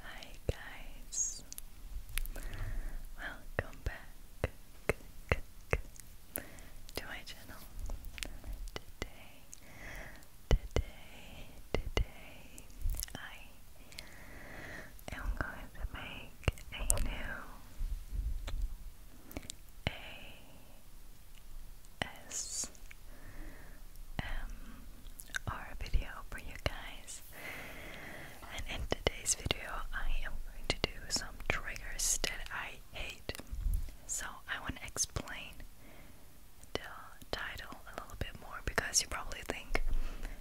Hi guys, welcome back to my channel. Today, today, today, I am going to make a new ASMR video for you guys. And in today's video, I am going to do some triggers that I hate. So I want to explain the title a little bit more because you probably think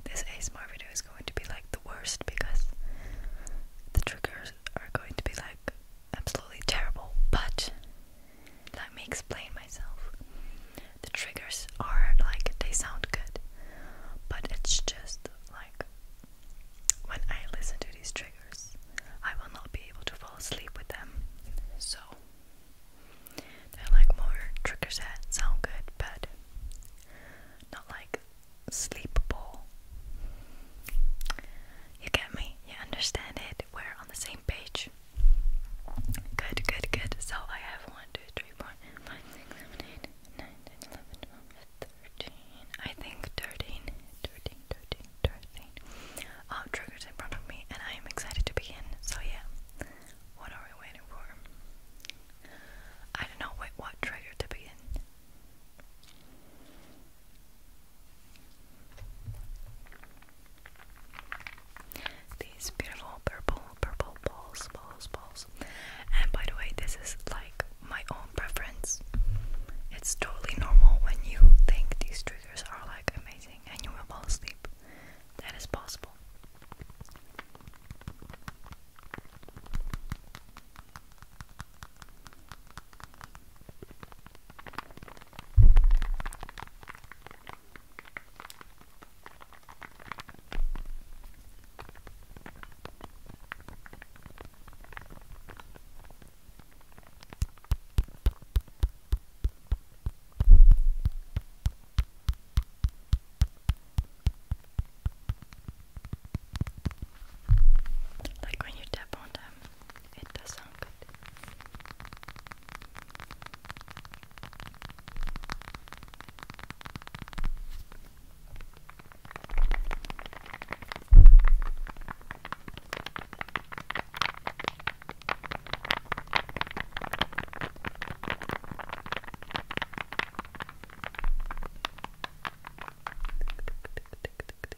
this ASMR video is going to be like the worst because the triggers are going to be like absolutely terrible. But let me explain myself. The triggers are like they sound good, but it's just like when I listen to these triggers, I will not be able to fall asleep with them. So they're like more triggers that sound good, but not like sleepable. You get me? You understand it? We're on the same page. Good, good, good. So I have 1, 2, 3, 4, 5, I think 13, 13, 13, 13. Um, triggers in front of me, and I am excited to begin. So, yeah. What are we waiting for? I don't know. Wait, what trigger to begin? These beautiful purple, purple balls, balls, balls. And by the way, this is like my own preference. It's totally normal when you think these triggers are like amazing and you will fall asleep. That is possible. Like when you tap on them, it does sound good.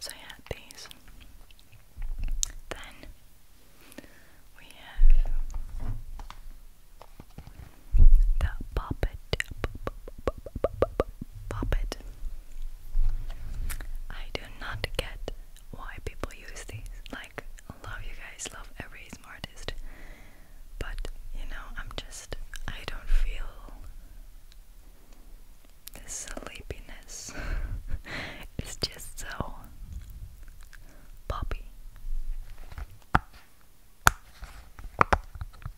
So, I these. Then we have the puppet, puppet, I do not get why people use these. Like, a lot of you guys, love every smartest, But, you know, I'm just, I don't feel the sleepiness. it's just so poppy.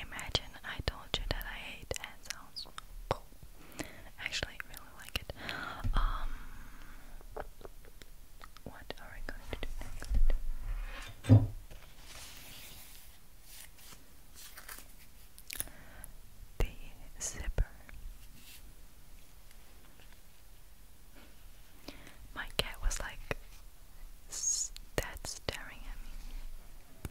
Imagine I told you that I hate hand Actually, I really like it. Um, what are we going to do next? The zipper. My cat was like, dead staring at me.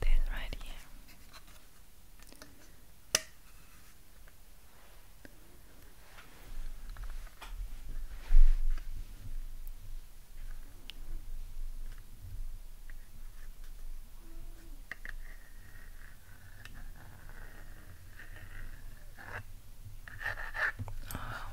This right here. Oh,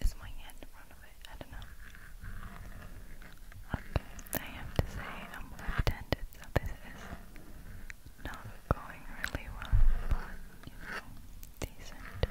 Is my hand in front of it? I don't know. Okay, I have to say I'm left-handed, so this is not going really well, but you know, decent.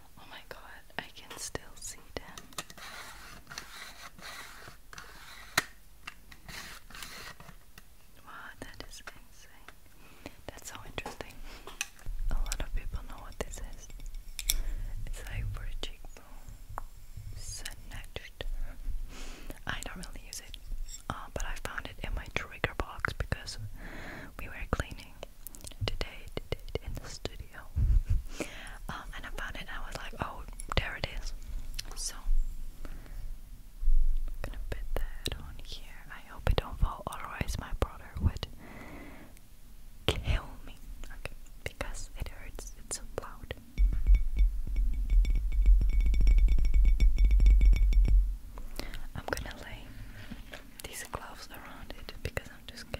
Oh my god, I can still see them. Wow, that is insane. That's so interesting. A lot of people know what this is. It's like for snatched. I don't really use it, uh, but I found it in my trigger box because we were cleaning today, today in the studio. Um, and I found it I was like, oh, there it is. So, I'm gonna put that on here. I hope it don't fall, otherwise my brother would kill me. because it hurts, it's so loud. I'm gonna lay these gloves around it because I'm just scared.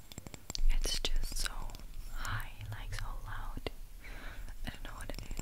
It's just so high, like so loud. I don't know what it is.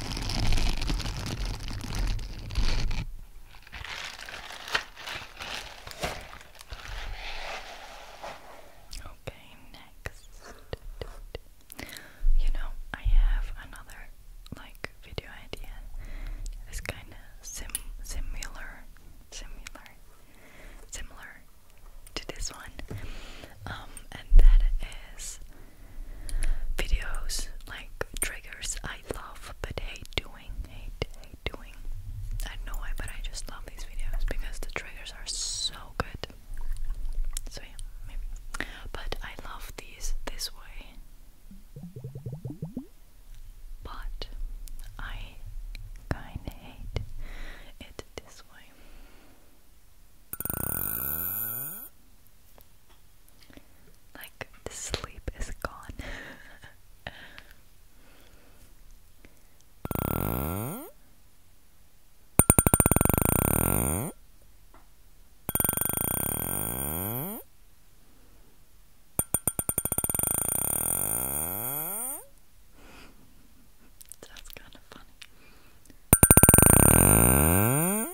Okay, next. You know, I have another like video idea. It's kind of sim similar, similar, similar to this one, um, and that is videos like triggers I love but hate doing, hate, hate doing. I know why, but I just love these videos because the triggers are so good. So yeah, But I love these this way. But I kind hate it this way. Like the sleep is gone. That's kind of funny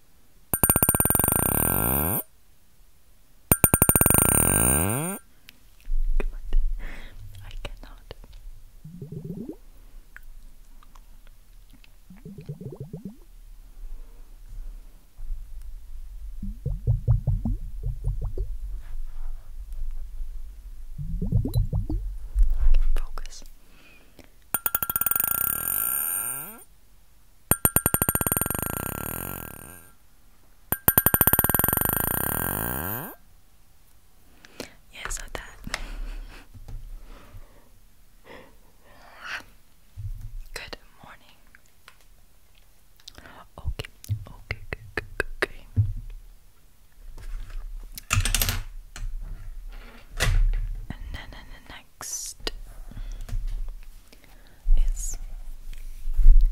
I cannot. Focus. Yeah, so that. Good morning. Okay, okay, okay, okay. Na na na na next is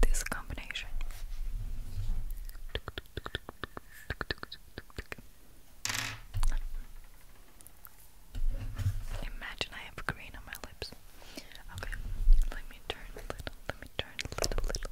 this combination. Imagine I have green on my lips. Okay, let me turn a little, let me turn a little, little,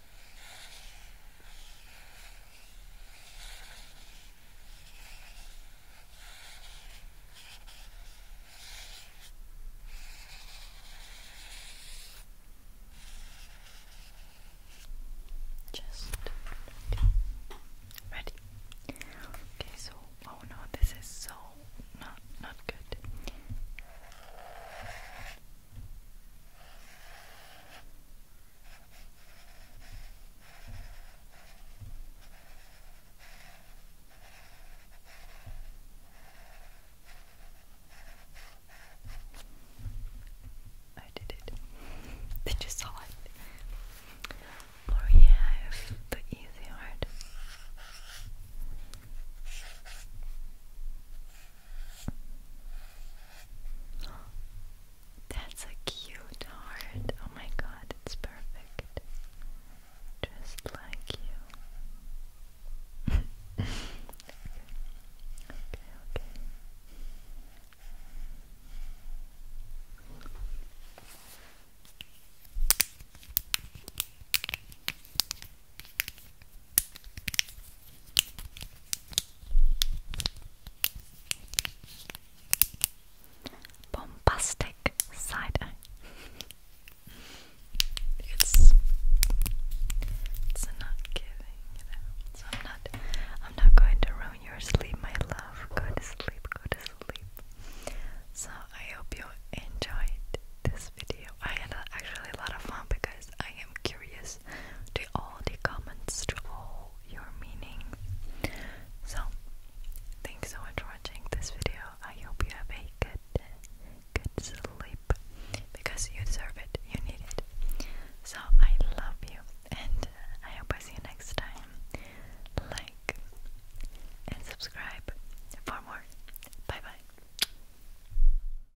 Just ready. Okay, so oh no, this is so not not good. I did it. Did you saw it? Or yeah, I have the easy art. That's a cute heart. Oh my god, it's perfect. Just like you. okay. okay, okay. Okay, Bombastic side it's it's not giving So I'm not I'm not going to ruin your sleep, my love. Go to sleep, go to sleep. So I hope you enjoyed this video. I had actually a lot of fun because I am curious to all the comments, to all your meaning. So, thanks so much for watching this video. I hope you have a good, good sleep because you deserve it, you need it. So, I love you, and uh, I hope I see you next time. Like and subscribe for more. Bye bye.